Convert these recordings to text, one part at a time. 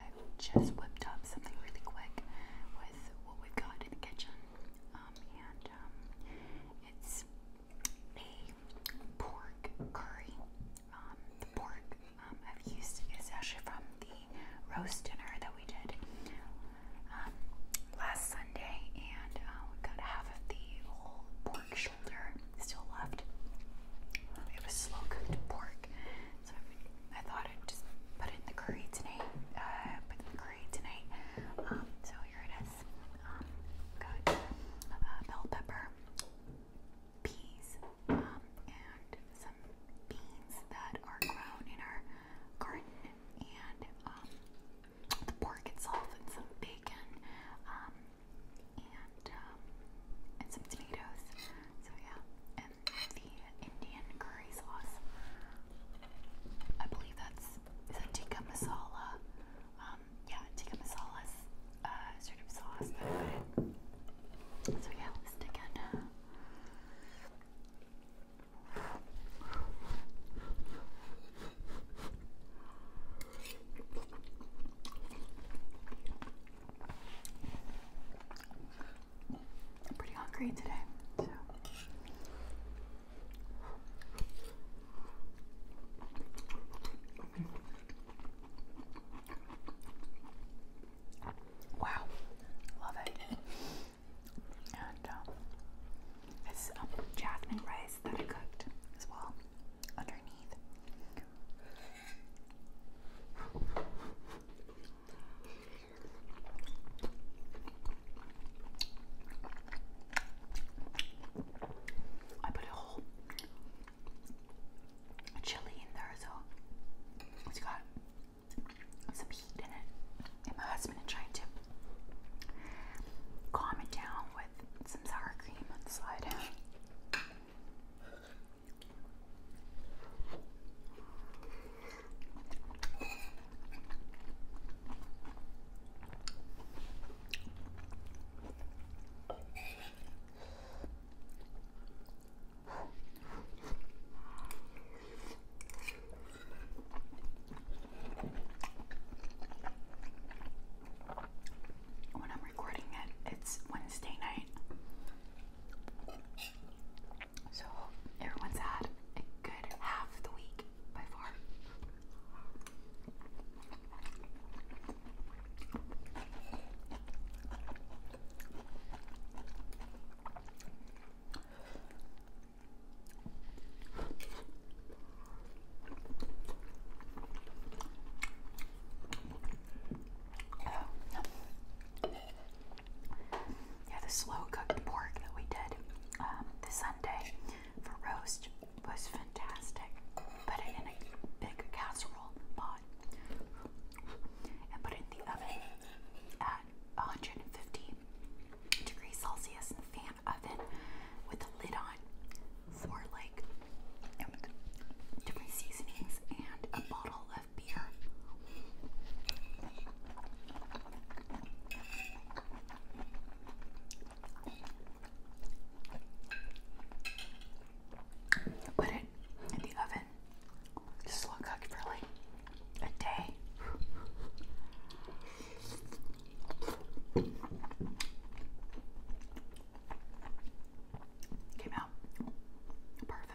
I've just whipped up something really quick with what we've got in the kitchen, um, and um, it's a pork curry. Um, the pork I've used is actually from the roast dinner that we did last Sunday, and uh, we've got half of the whole pork shoulder still left. It was slow cooked pork so I thought I'd just put in the curry tonight. Uh, put in the curry tonight. Um, so here it is. Um, uh, bell pepper, peas, um, and some beans that are grown in our garden, and the pork itself, and some bacon, and some tomatoes. So yeah the Indian curry sauce. I believe that's is that tikka masala. Um, yeah, tikka masala's uh, sort of sauce So yeah, let's dig in. I'm pretty hungry today, Wow, love it. And um, it's um, jasmine rice that I cooked as well underneath. I put a whole chili in there, so it's got some heat in it. And my husband is trying to calm it down with some sour cream on the side. When I'm recording it, it's Wednesday night. So everyone's had a good half of the week by far yeah, the slow cooked pork that we did um, the Sunday for roast was fantastic. Put it in a big casserole pot and put it in the oven at 150 degrees Celsius in the fan oven with a lid on for like different seasonings and a bottle of Put it in the oven. slow cook for like a day. Came out perfect.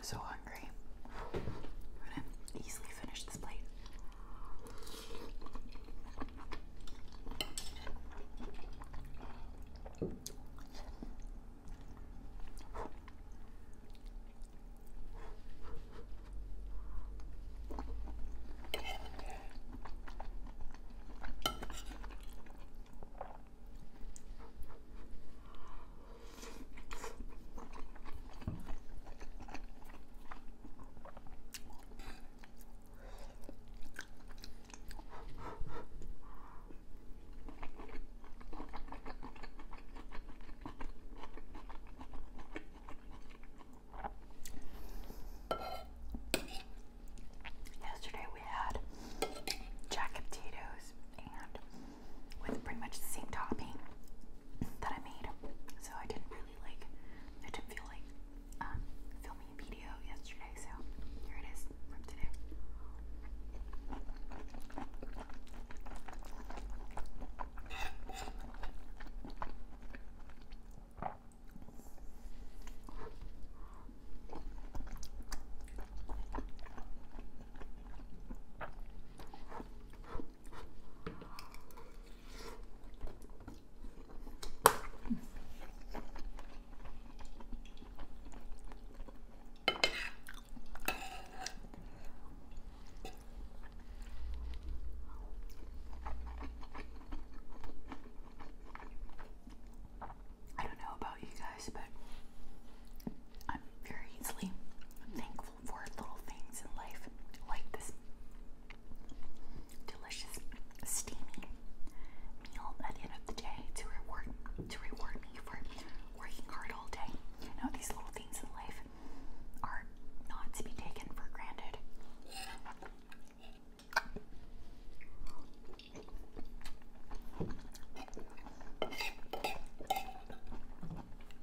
So hungry. We're gonna easily finish this plate. Yesterday we had jack potatoes and with pretty much the same topping that I made. So I didn't really like, I didn't feel like um, filming a video yesterday. So here it is from today. I don't know about you guys, but I'm very easily thankful for little things in life, like this delicious, steamy meal at the end of the day to reward to reward me for working hard all day. You know, these little things in life are not to be taken for granted.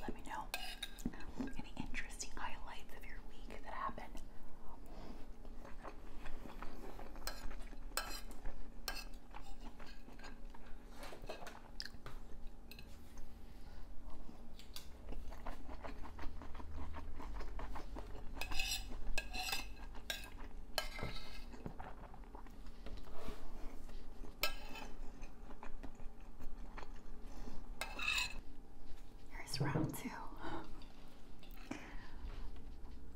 Let me know any interesting highlights of your week that happened. Here's round two.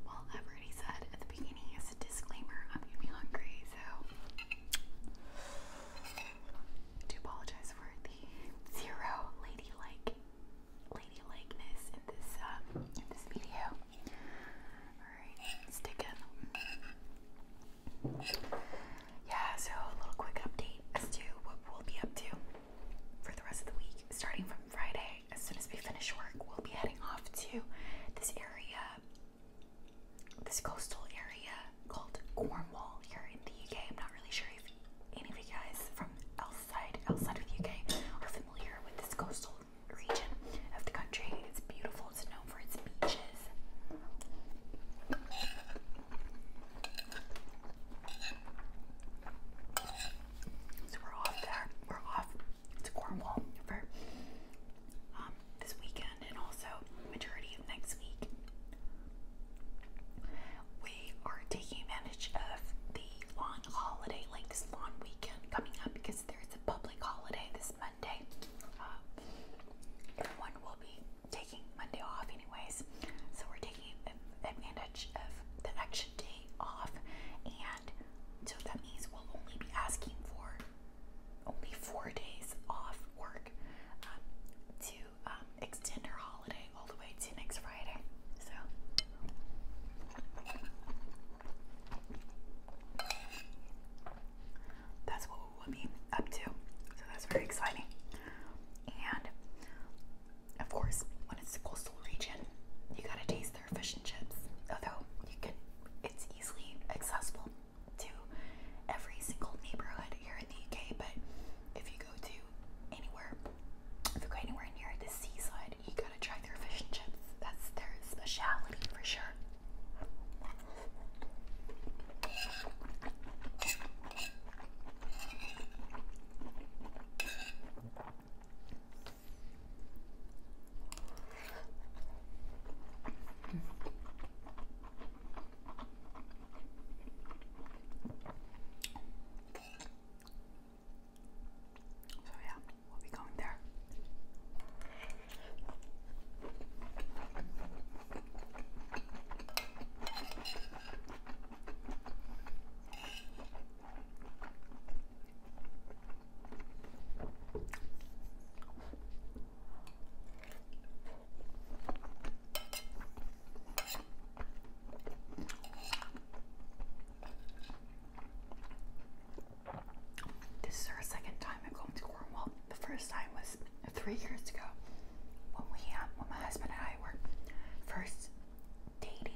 Well, i said at the beginning as a disclaimer, I'm gonna be hungry, so I apologize for the zero ladylike ladylikeness in this um, in this video. Alright, let Yeah, so a little quick update as to what we'll be up to for the rest of the week. Starting from Friday, as soon as we finish work, we'll be heading off to this area, this coastal area called Cornwall here in the UK. I'm not really sure if any of you guys from outside outside of the UK are familiar with this coastal region of the country. It's beautiful. It's known for its beaches. So we're off there. We're off to Cornwall for um, this weekend and also majority of next week. We are taking advantage of the long holiday, like this long weekend coming up because there's a public holiday this Monday. Uh, everyone will be taking Monday off anyways. So we're taking advantage of the extra day off and so that means we'll only be asking for only four days off work um, to um, extend her holiday all the way to next Friday. So. That's what we'll be up to. So that's very exciting. And of course, when it's the coastal region, you gotta taste their fish and chips. Although you can, it's easily accessible to every single neighborhood here in the UK, but if you go to anywhere, if you go anywhere near the seaside, you gotta try their fish and chips. That's their speciality for sure. So yeah, we'll be going there. This is our second time at going to Cornwall. The first time was three years ago when we, uh, when my husband and I were first dating.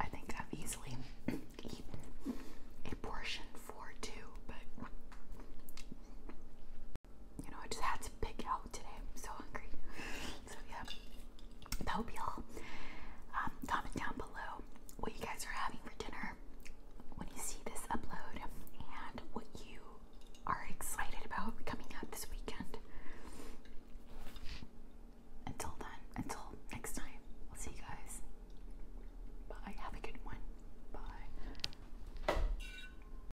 I think i easily eaten a portion for two, but you know, I just had to pick out today. I'm so hungry. So yeah, I hope y'all um, comment down below what you guys are having for dinner when you see this upload and what you are excited about coming out this weekend. Until then, until next time, I'll see you guys. Bye. Have a good one. Bye.